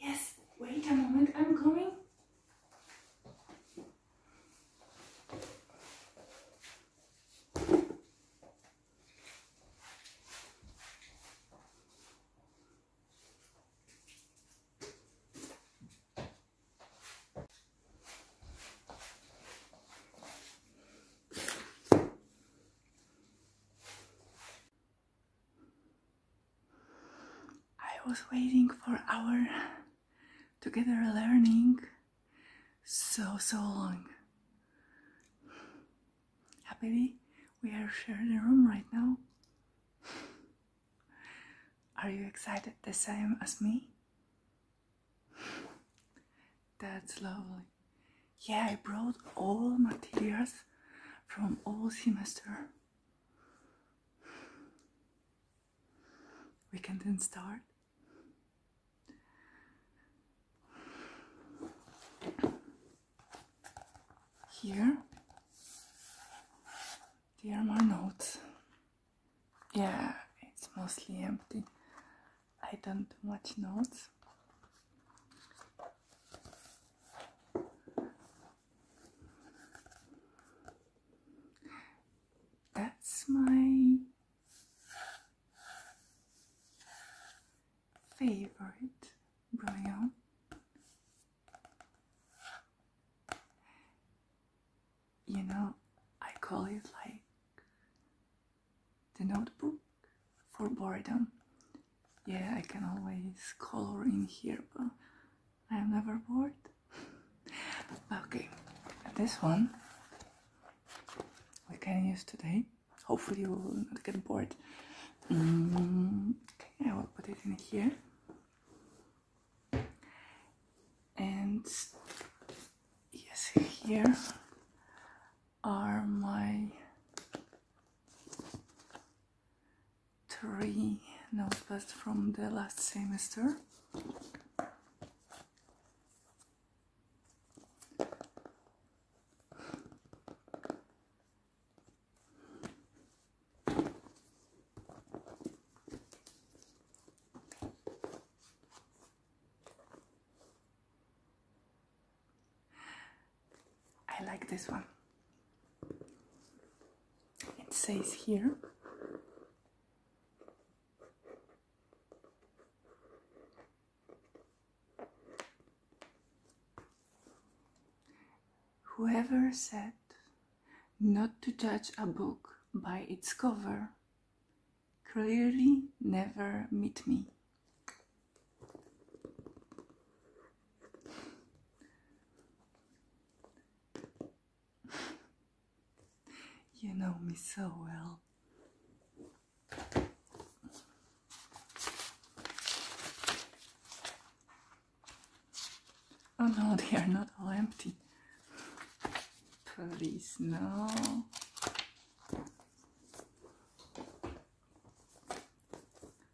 Yes, wait a moment, I'm coming. I was waiting for our together learning so so long. Happily, we are sharing a room right now. Are you excited the same as me? That's lovely yeah, I brought all materials from all semester. We can then start. Here, there are my notes. Yeah, it's mostly empty. I don't much notes. That's my favorite bouillon. You know, I call it like the notebook for boredom. Yeah, I can always color in here, but I am never bored. okay, this one we can use today. Hopefully, we will not get bored. Mm, okay, I will put it in here. And yes, here are my three notepads from the last semester. I like this one. It says here Whoever said not to judge a book by its cover clearly never met me. you know me so well. Oh no, they are not all empty. Please, no.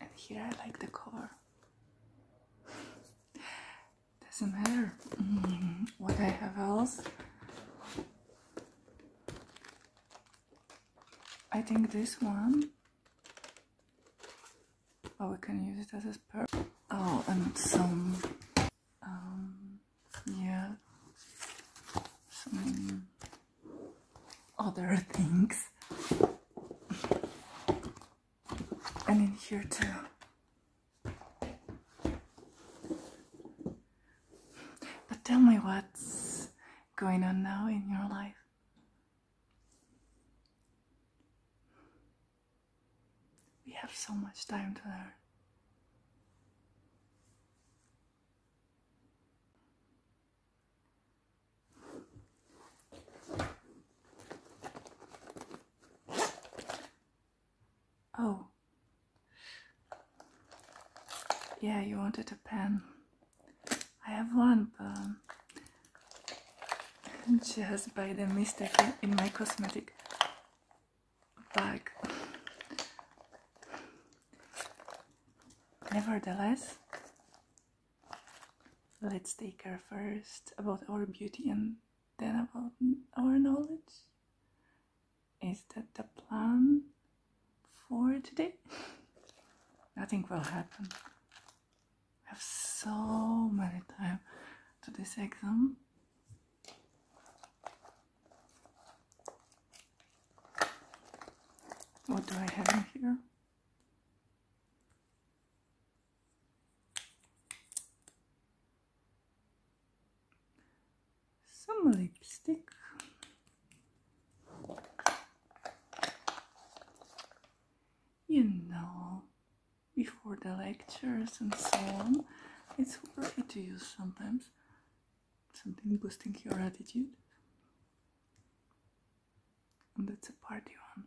and here I like the color. Doesn't matter mm, what I have else. I think this one. Oh, we can use it as a purple. Oh, and some. Um, yeah. Some other things and in here too but tell me what's going on now in your life we have so much time to learn Oh. Yeah, you wanted a pen. I have one, but she by the mistake in my cosmetic bag. Nevertheless, let's take care first about our beauty and then about our knowledge. Is that the plan for today? Nothing will happen. I have so much time to this exam. What do I have here? some lipstick you know before the lectures and so on it's super good to use sometimes something boosting your attitude and that's a party one.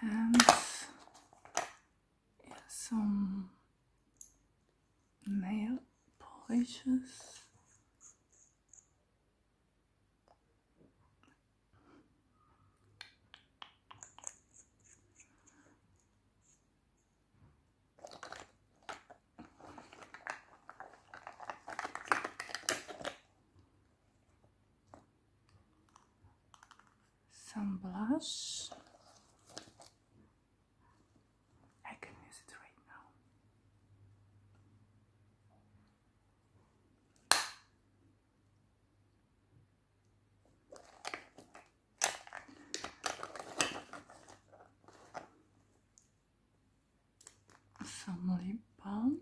And some nail polishes some blush. I can use it right now some lip balm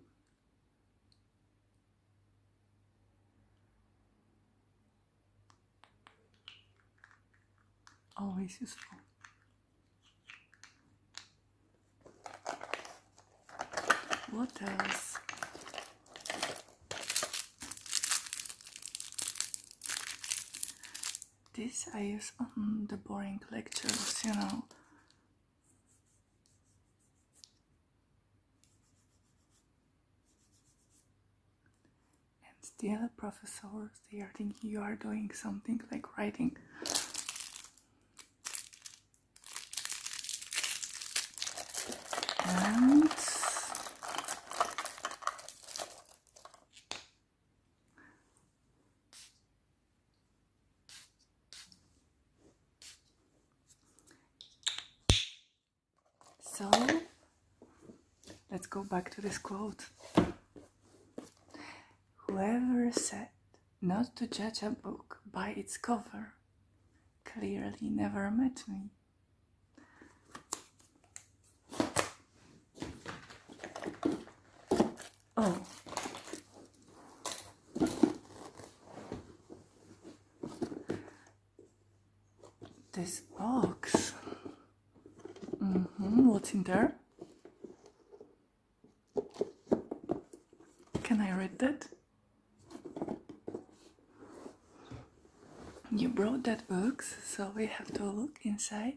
always useful what else this I use on the boring lectures, you know. And the professors, they are thinking you are doing something like writing. So let's go back to this quote. Whoever said not to judge a book by its cover clearly never met me. Oh. This box. -hmm. What's in there? Can I read that? You brought that box, so we have to look inside.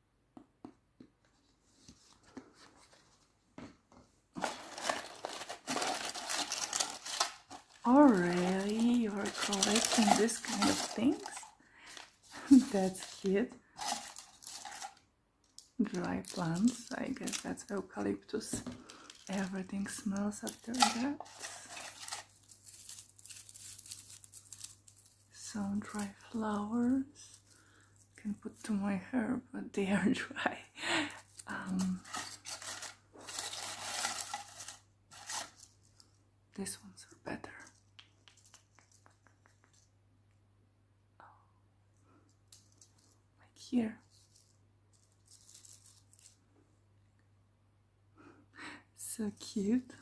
Oh, really? You're collecting this kind of things? that's cute. Dry plants, I guess that's eucalyptus. Everything smells after that some dry flowers can put to my hair but they are dry um, these ones are better oh, like here so cute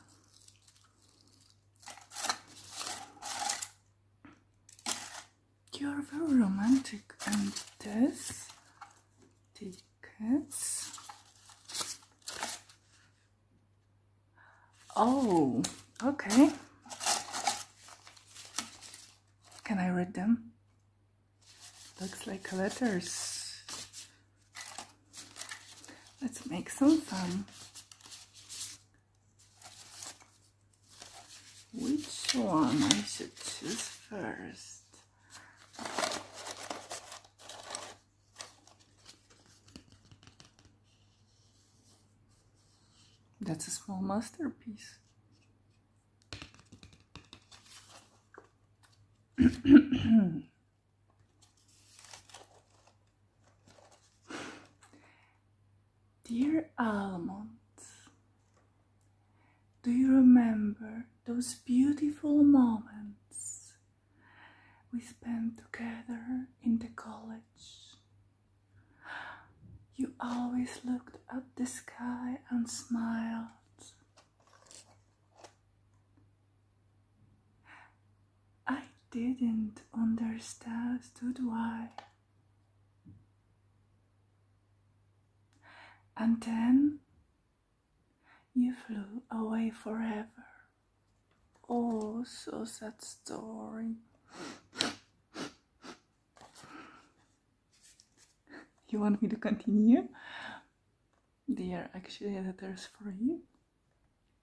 you are very romantic and this tickets. Oh, okay. Can I read them? Looks like letters. Let's make some fun. Which one I should choose first? That's a small masterpiece. Dear Almond, do you remember those beautiful moments we spent together in the college? You always looked at the sky and smiled. I didn't understand why. And then you flew away forever. Oh, so sad story. you want me to continue? They are actually letters for you.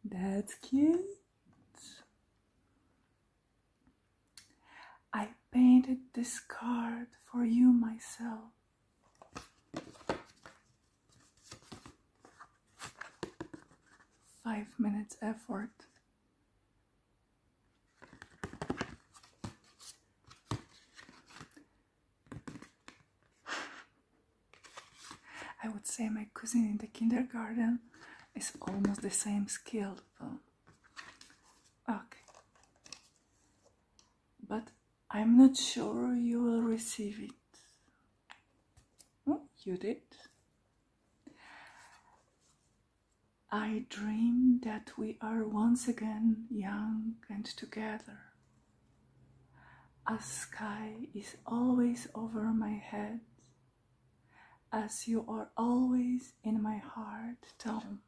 That's cute. I painted this card for you myself. Five minutes effort. I would say my cousin in the kindergarten is almost the same skill Okay. But I'm not sure you will receive it. Oh, you did. I dream that we are once again young and together. A sky is always over my head, as you are always in my heart, Tom.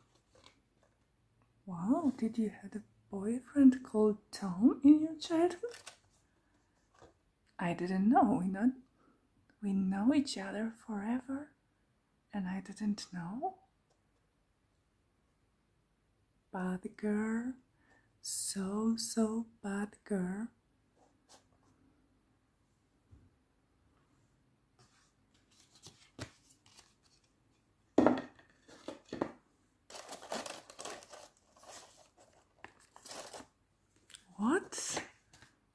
Wow, did you have a boyfriend called Tom in your childhood? I didn't know. We we know each other forever, and I didn't know bad girl, so, so bad girl. What?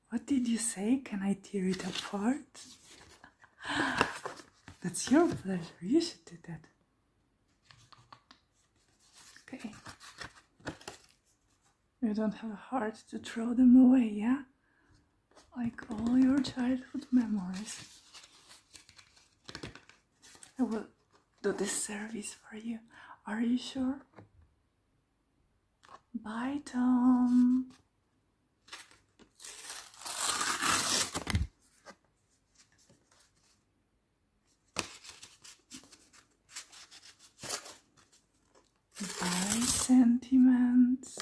What did you say? Can I tear it apart? That's your pleasure. You should do that. Okay. You don't have a heart to throw them away, yeah? Like all your childhood memories. I will do this service for you. Are you sure? Bye, Tom by sentiments.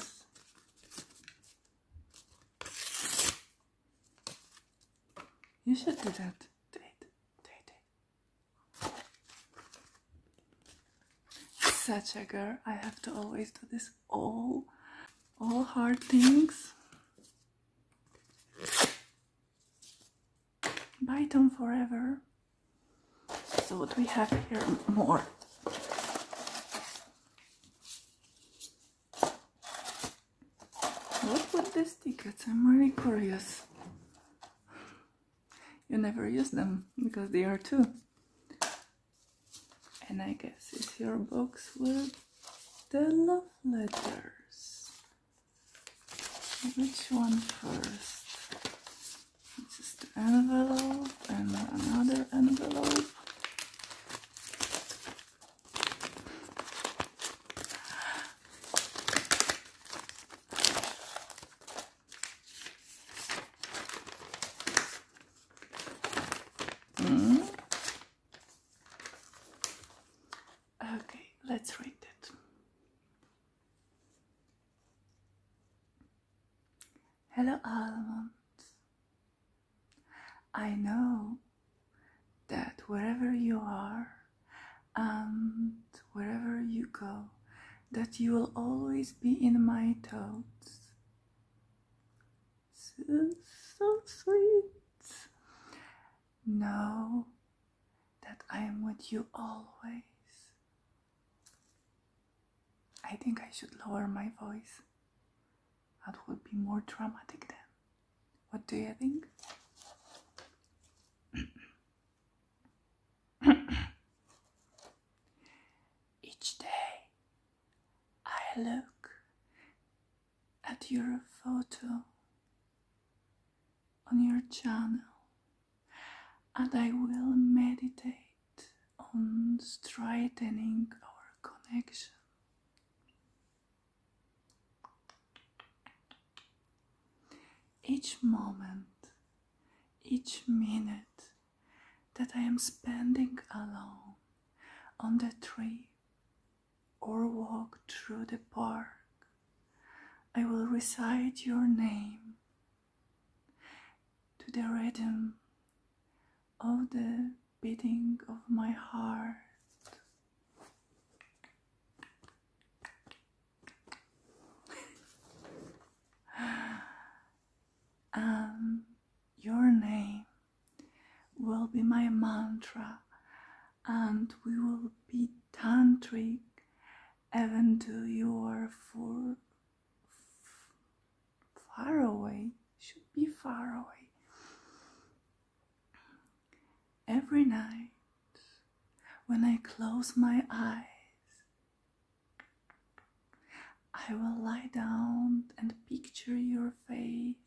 You should do that. Such a girl. I have to always do this. All, all hard things. Byton Forever. So what we have here more. What with these tickets? I'm really curious. You never use them because they are two. And I guess it's your box with the love letters. Which one first? This is the envelope and another envelope. Hmm? Okay, let's read it. Hello, Almond. I know that wherever you are and wherever you go, that you will always be in my thoughts. So, sweet. No that I am with you always. I think I should lower my voice. That would be more dramatic then. What do you think? Each day I look at your photo on your channel and I will meditate on straightening our connection. Each moment, each minute that I am spending alone on the tree or walk through the park, I will recite your name to the rhythm of the beating of my heart. and um, your name will be my mantra and we will be tantric even though you are far away, should be far away. Every night when I close my eyes, I will lie down and picture your face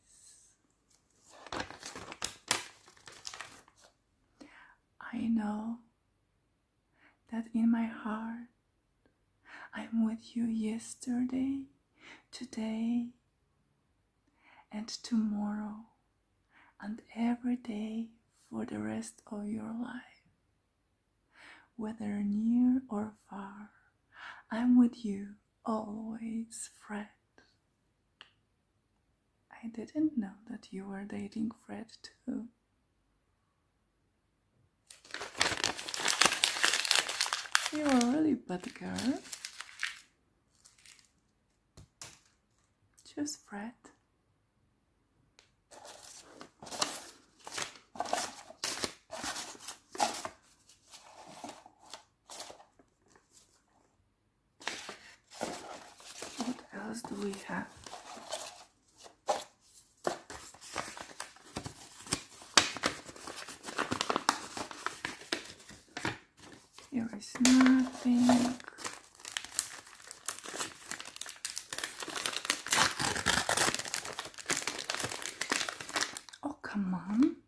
I know that in my heart I'm with you yesterday, today, and tomorrow, and every day for the rest of your life. Whether near or far, I'm with you always, friend. I didn't know that you were dating Fred too. You are really bad girl. Just Fred. What else do we have? There is nothing. Oh, come on.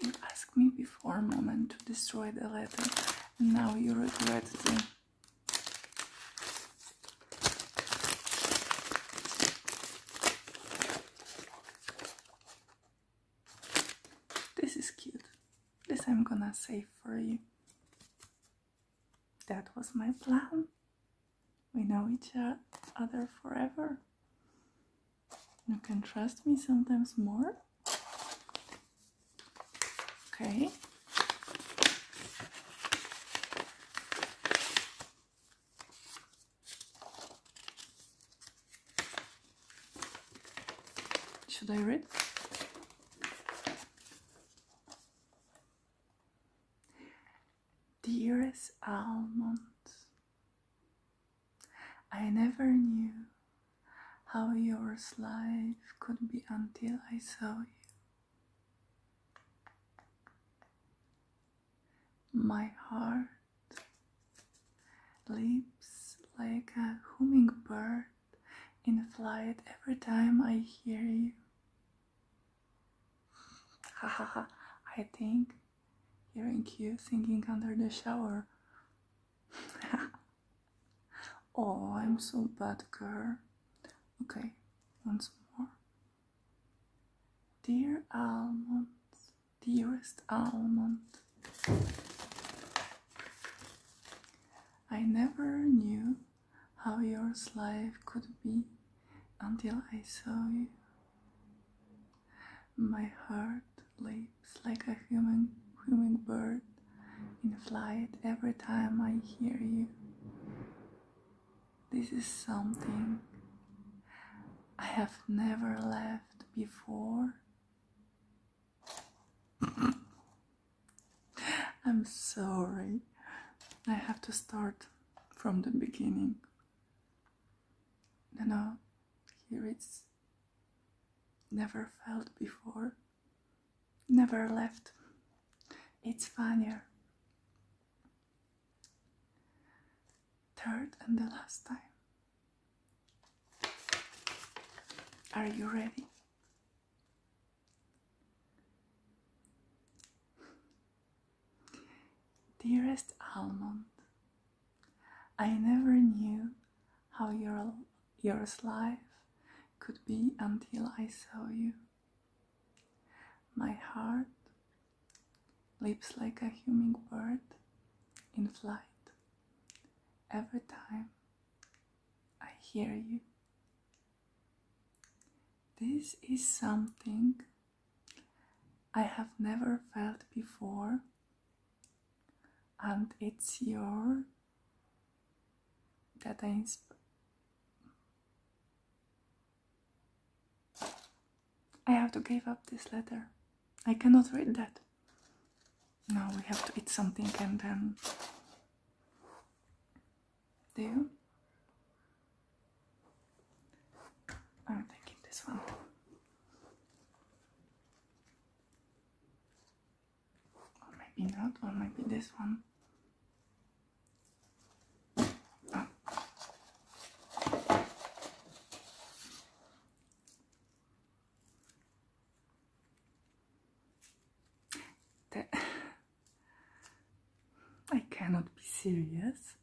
You asked me before a moment to destroy the letter, and now you regret it. This is cute. This I'm gonna save for you. That was my plan. We know each other forever. You can trust me sometimes more. Okay. Should I read? Dearest almond, I never knew how yours life could be until I saw you. My heart leaps like a hummingbird in flight every time I hear you. Ha I think hearing you singing under the shower oh, I'm so bad girl. Okay, once more. Dear almond, dearest almond. I never knew how yours life could be until I saw you. My heart leaps like a human hummingbird in flight every time I hear you. This is something I have never left before. I'm sorry. I have to start from the beginning. No, no, here it's never felt before, never left. It's funnier. Third and the last time. Are you ready? Dearest Almond, I never knew how your, yours life could be until I saw you. My heart leaps like a hummingbird in flight every time I hear you. This is something I have never felt before and it's your That insp I have to give up this letter. I cannot read that. Now we have to eat something and then do you? I'm taking this one. Or maybe not, or maybe this one. Ah. I cannot be serious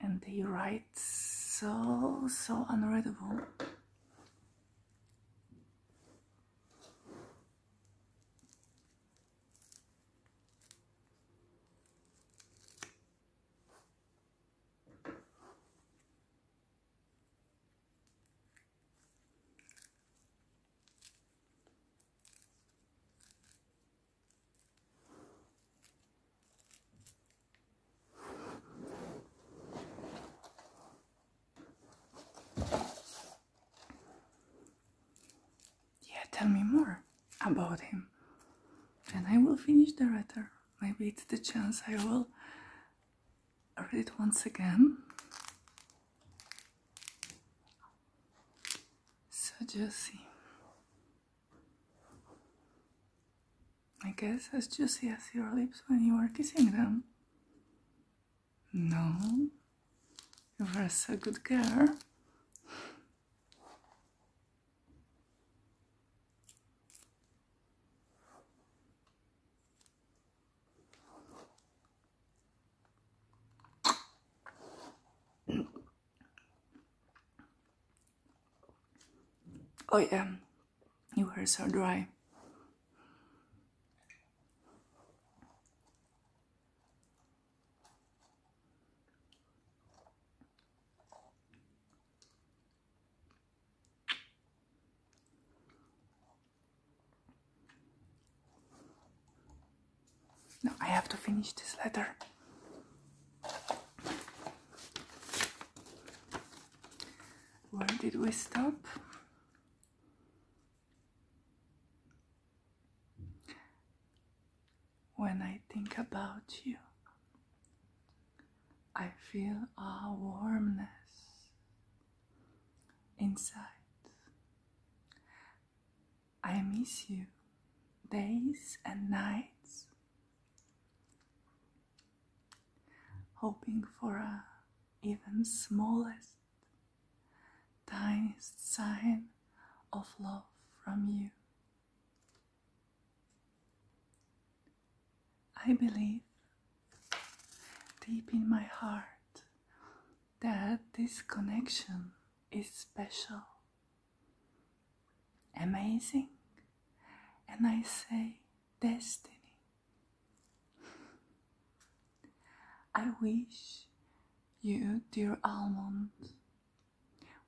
and they write so so unreadable yeah, tell me more about him, and I will finish the letter. Maybe it's the chance I will read it once again. So, Josie, I guess as juicy as your lips when you were kissing them. No, you were such a good girl. Oh yeah, your hairs are dry. No, I have to finish this letter. Where did we stop? When I think about you, I feel a warmth inside. I miss you days and nights hoping for a even smallest, tiniest sign of love from you. I believe deep in my heart that this connection is special amazing, and I say destiny. I wish you, dear almond,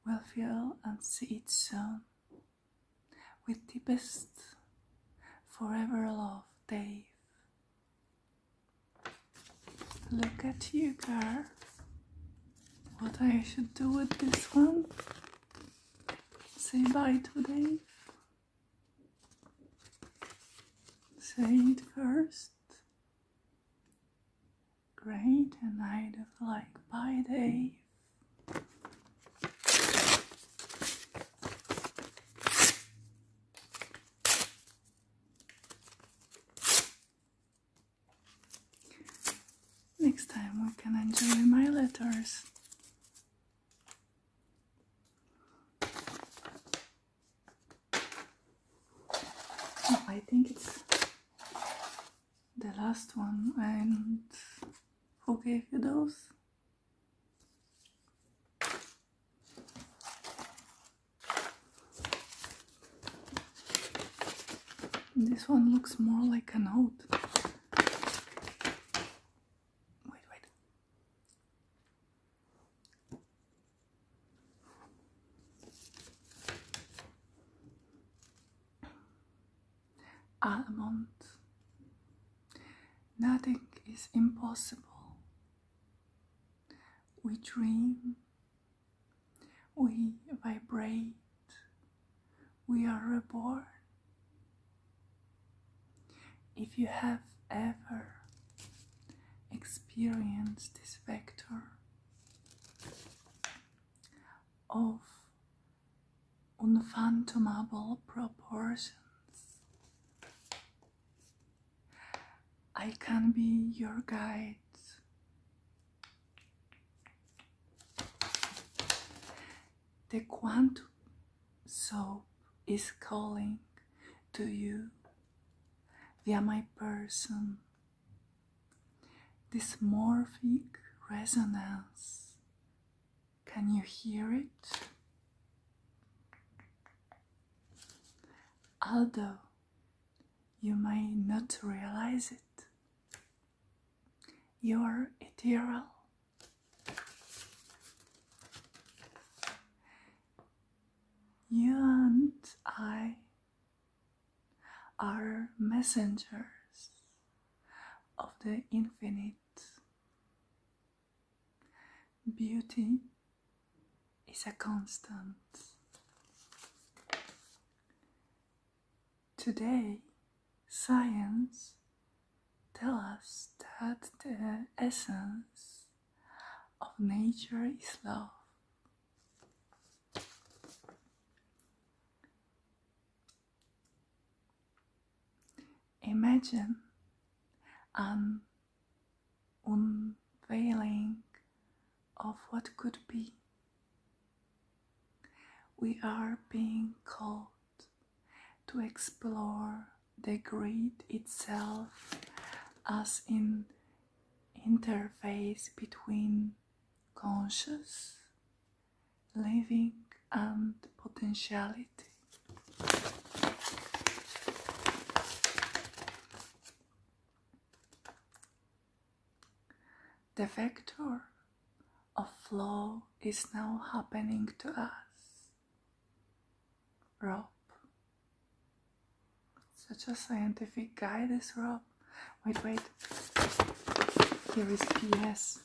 will feel and see it soon with deepest forever love, Dave. Look at you, girl. What I should do with this one? Say bye to Dave. Say it first. Great, and I'd like bye, Dave. Next time we can enjoy my letters. Oh, I think it's the last one and who gave you those? This one looks more like a note. Wait, Nothing is impossible. We dream, we vibrate, we are reborn. If you have ever experienced this vector of unfathomable proportions, I can be your guide the quantum soap is calling to you via my person. This morphic resonance. Can you hear it? Although you may not realize it, you're eternal. You and I are messengers of the infinite. Beauty is a constant. Today, science tells us that the essence of nature is love. Imagine an unveiling of what could be. We are being called to explore the grid itself as an interface between conscious, living, and potentiality. The vector of flow is now happening to us. Rob. Such a scientific guy, this Rob. Wait, wait. Here is PS.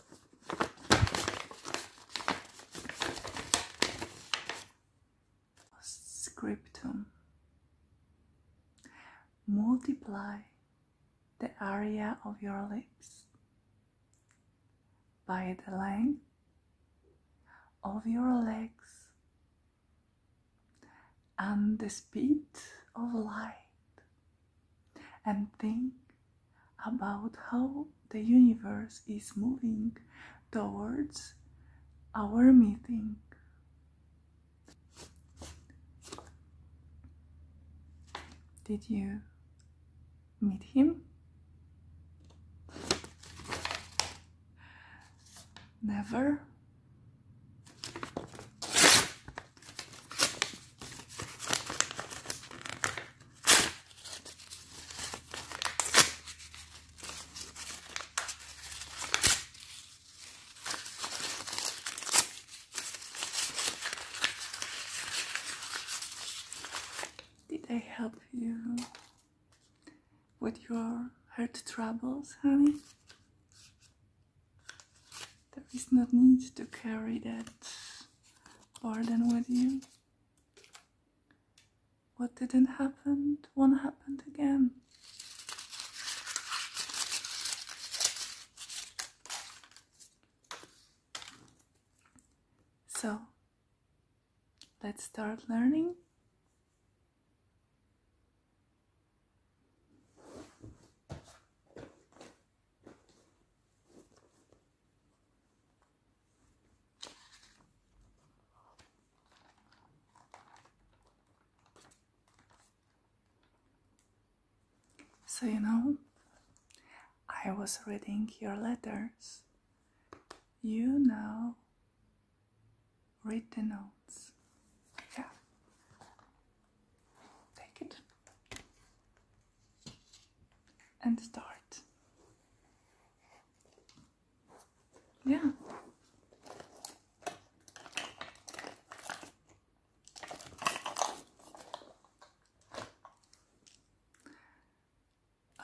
Scriptum. Multiply the area of your lips by the length of your legs and the speed of light and think about how the universe is moving towards our meeting. Did you meet him? Never. Did I help you with your heart troubles, honey? There is no need to carry that burden with you. What didn't happen won't happen again. So, let's start learning. So, you know, I was reading your letters. You now read the notes. Yeah. Take it and start. Yeah.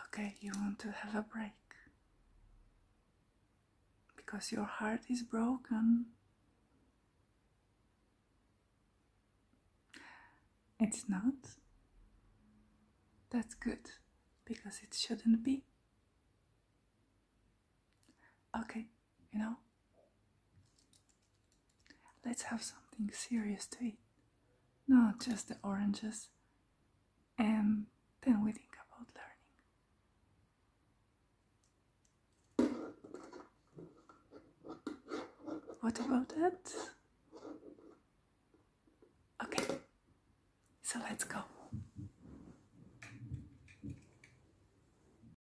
Okay, you want to have a break because your heart is broken. It's not. That's good because it shouldn't be. Okay you know? Let's have something serious to eat, not just the oranges, and then we think about learning. What about it? Okay, so let's go.